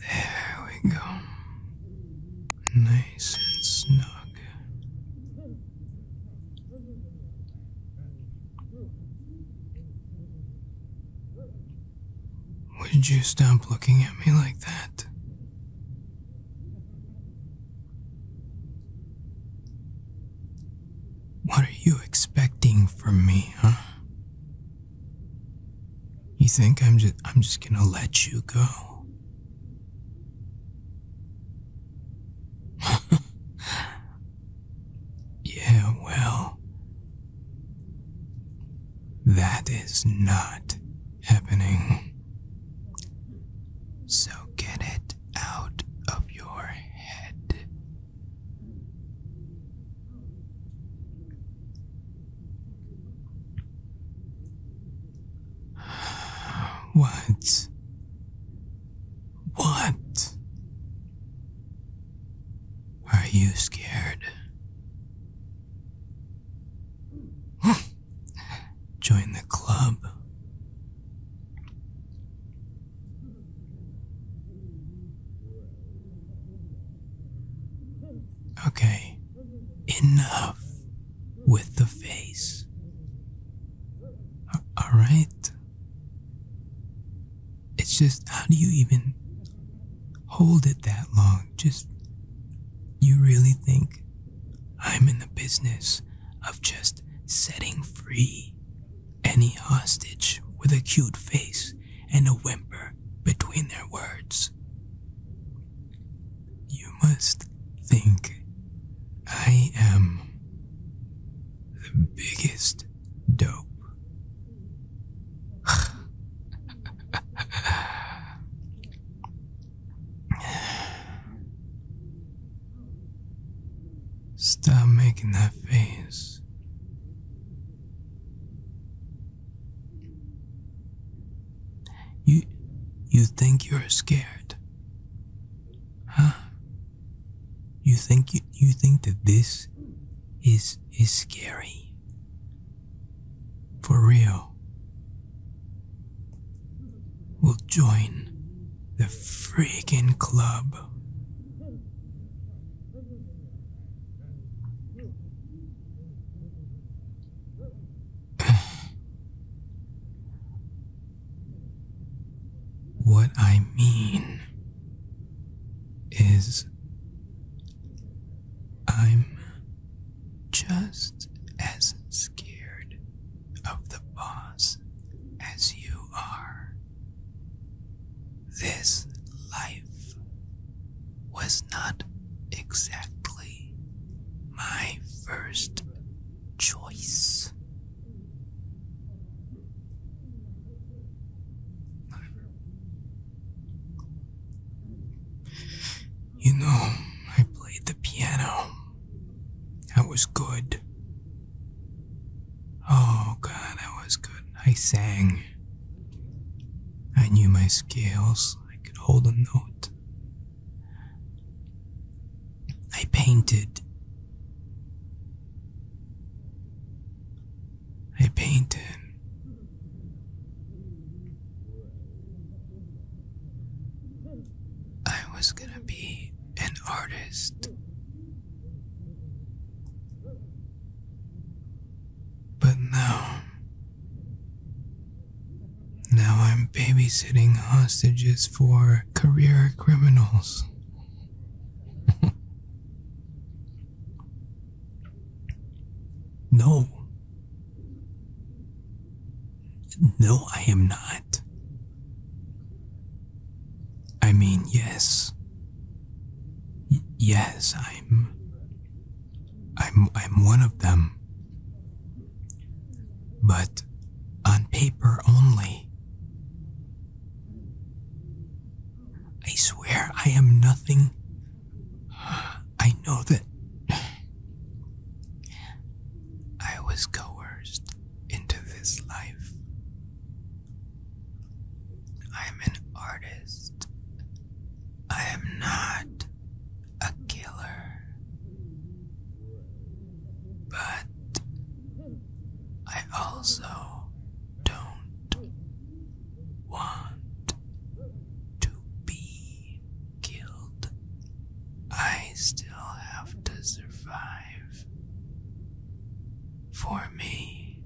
There we go. Nice and snug. Would you stop looking at me like that? What are you expecting from me, huh? You think I'm just I'm just going to let you go? yeah, well. That is not happening. So get it out of your head. What? What? Are you scared? join the club. Okay, enough with the face. All right. It's just, how do you even hold it that long? just. You really think I'm in the business of just setting free any hostage with a cute face and a whimper between their words? You must think I am the biggest dope. Stop making that face. You you think you're scared? Huh? You think you, you think that this is is scary? for real we will join the freaking club. what I mean is I'm just as scared of the boss as you are. This life was not exactly my first choice. You know, I played the piano. I was good. Oh god, I was good. I sang. I knew my scales. I could hold a note. I painted. I painted. I was gonna be an artist. But now, now I'm babysitting hostages for career criminals. No. No, I am not. I mean, yes. yes, I'm I'm I'm one of them. But on paper only. I swear I am nothing I know that I was coerced into this life. I am an artist. I am not a killer. But I also don't want to be killed. I still have to survive. For me.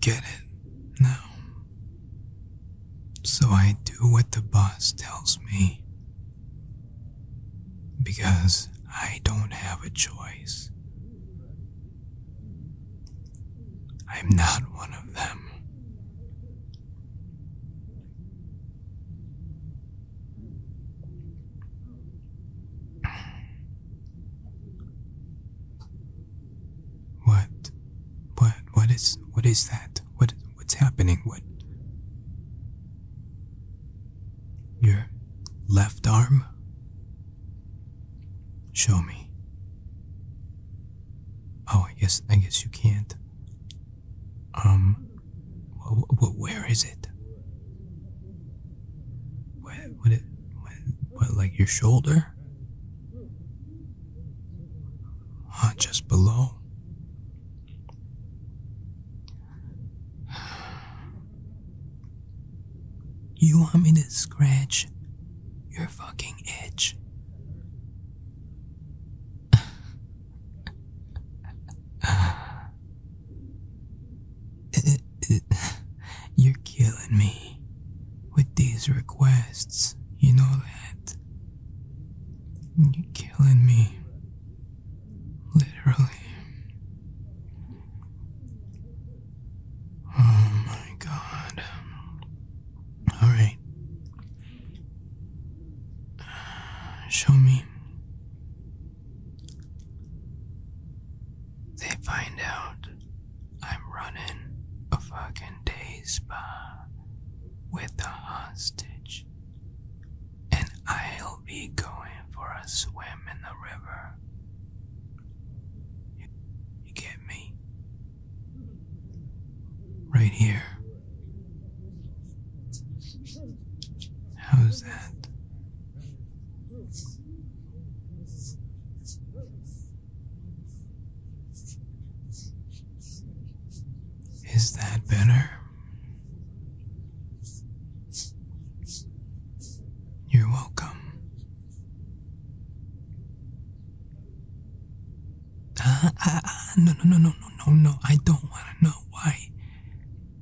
Get it now. So I do what the boss tells me. Because I don't have a choice. I'm not one of them. What? What? What is. What is that? What? What's happening? What? Your left arm? Show me. Oh, yes, I guess you can't. Um, where is it? What? What? Like your shoulder? Huh? Just below? You want me to scratch your fucking itch? you're killing me with these requests, you know that. You're killing me. Literally. Oh my god. Alright. Show me. They find out I'm running a fucking day spa with a hostage and I'll be going for a swim in the river. you get me? Right here. How's that? Is that better? You're welcome. Uh, uh, uh, no, no, no, no, no, no, no. I don't want to know why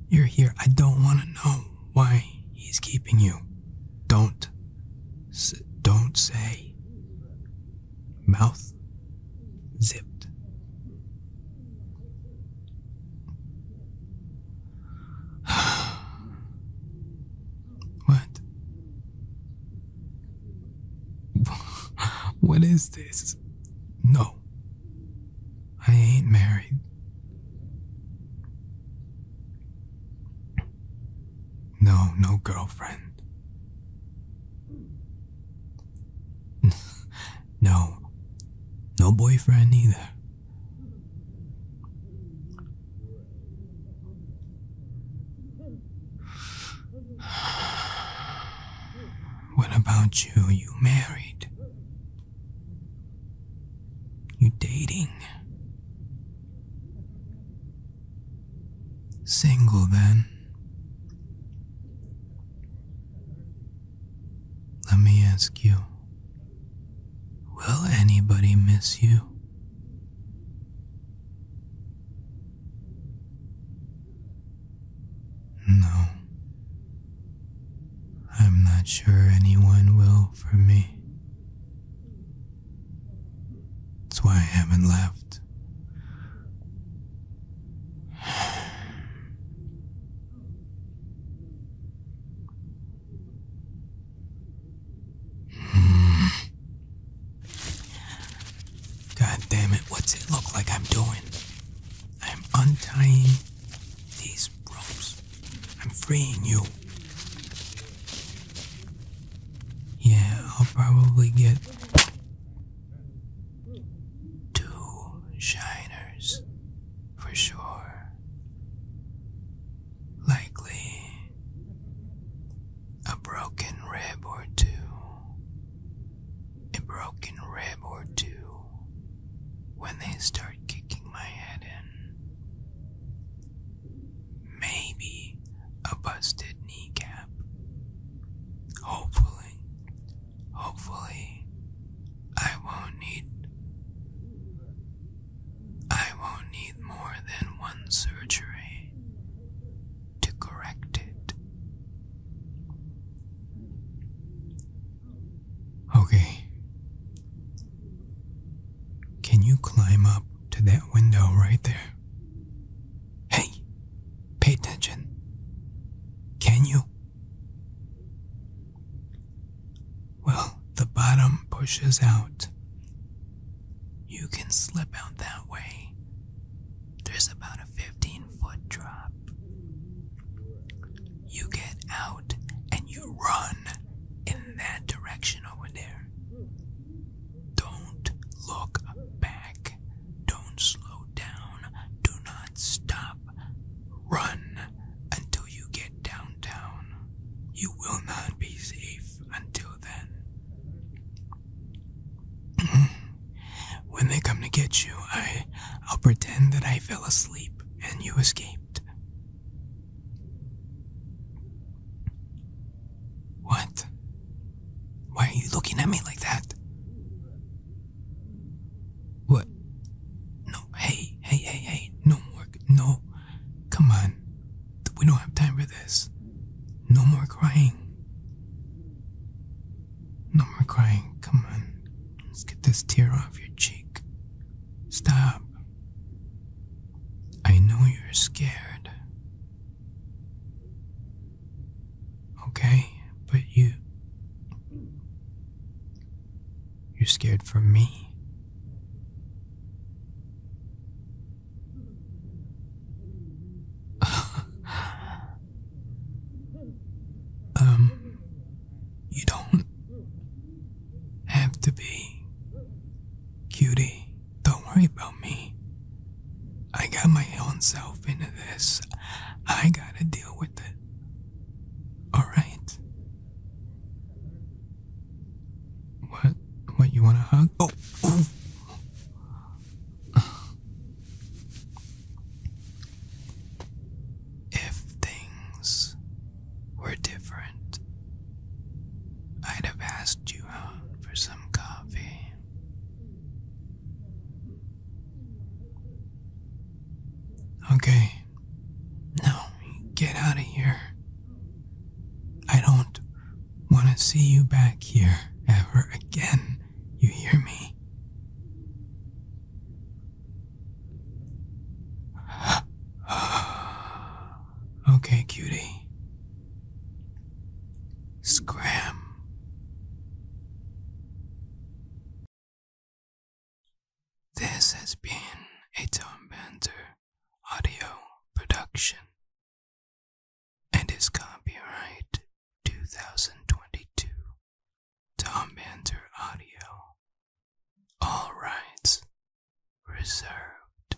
you're here. I don't want to know why he's keeping you. Don't, don't say mouth zipped. what? what is this? No, I ain't married. No, no girlfriend. no. No boyfriend either. What about you? You married? You dating? Single, then. Let me ask you Will anybody miss you? No. I'm not sure anyone will for me. That's why I haven't left. God it, what's it look like I'm doing? I'm untying these ropes. I'm freeing you. Yeah, I'll probably get two shiners for sure. Likely a broken rib or two. A broken rib or two when they start kicking my head in. Maybe a busted kneecap. Hopefully, hopefully, I won't need. I won't need more than one surgery to correct it. Okay. Can you climb up to that window right there? Hey, pay attention. Can you? Well, the bottom pushes out. You can slip out that way. There's about a 15 foot drop. You get out and you run in that direction over there. Don't look back. Don't slow down. Do not stop. Run until you get downtown. You will not be safe until then. when they come to get you, I I'll pretend that I fell asleep and you escaped. What? Why are you looking at me like that? What? No, hey, hey, hey, hey, no more, no. Come on. We don't have time for this. No more crying. No more crying. Come on. Let's get this tear off your cheek. Stop. I know you're scared. Okay, but you. You're scared for me. um, you don't have to be, cutie. Don't worry about me. I got my own self into this. I gotta deal with it. Alright. What? What, you want a hug? Oh, oh! If things we're different, I'd have asked you out for some coffee. Okay, now get out of here. I don't want to see you back here ever again, you hear me? Okay, cutie. Scram. This has been a Tom Banter audio production and is copyright 2022 Tom Banter Audio. All rights reserved.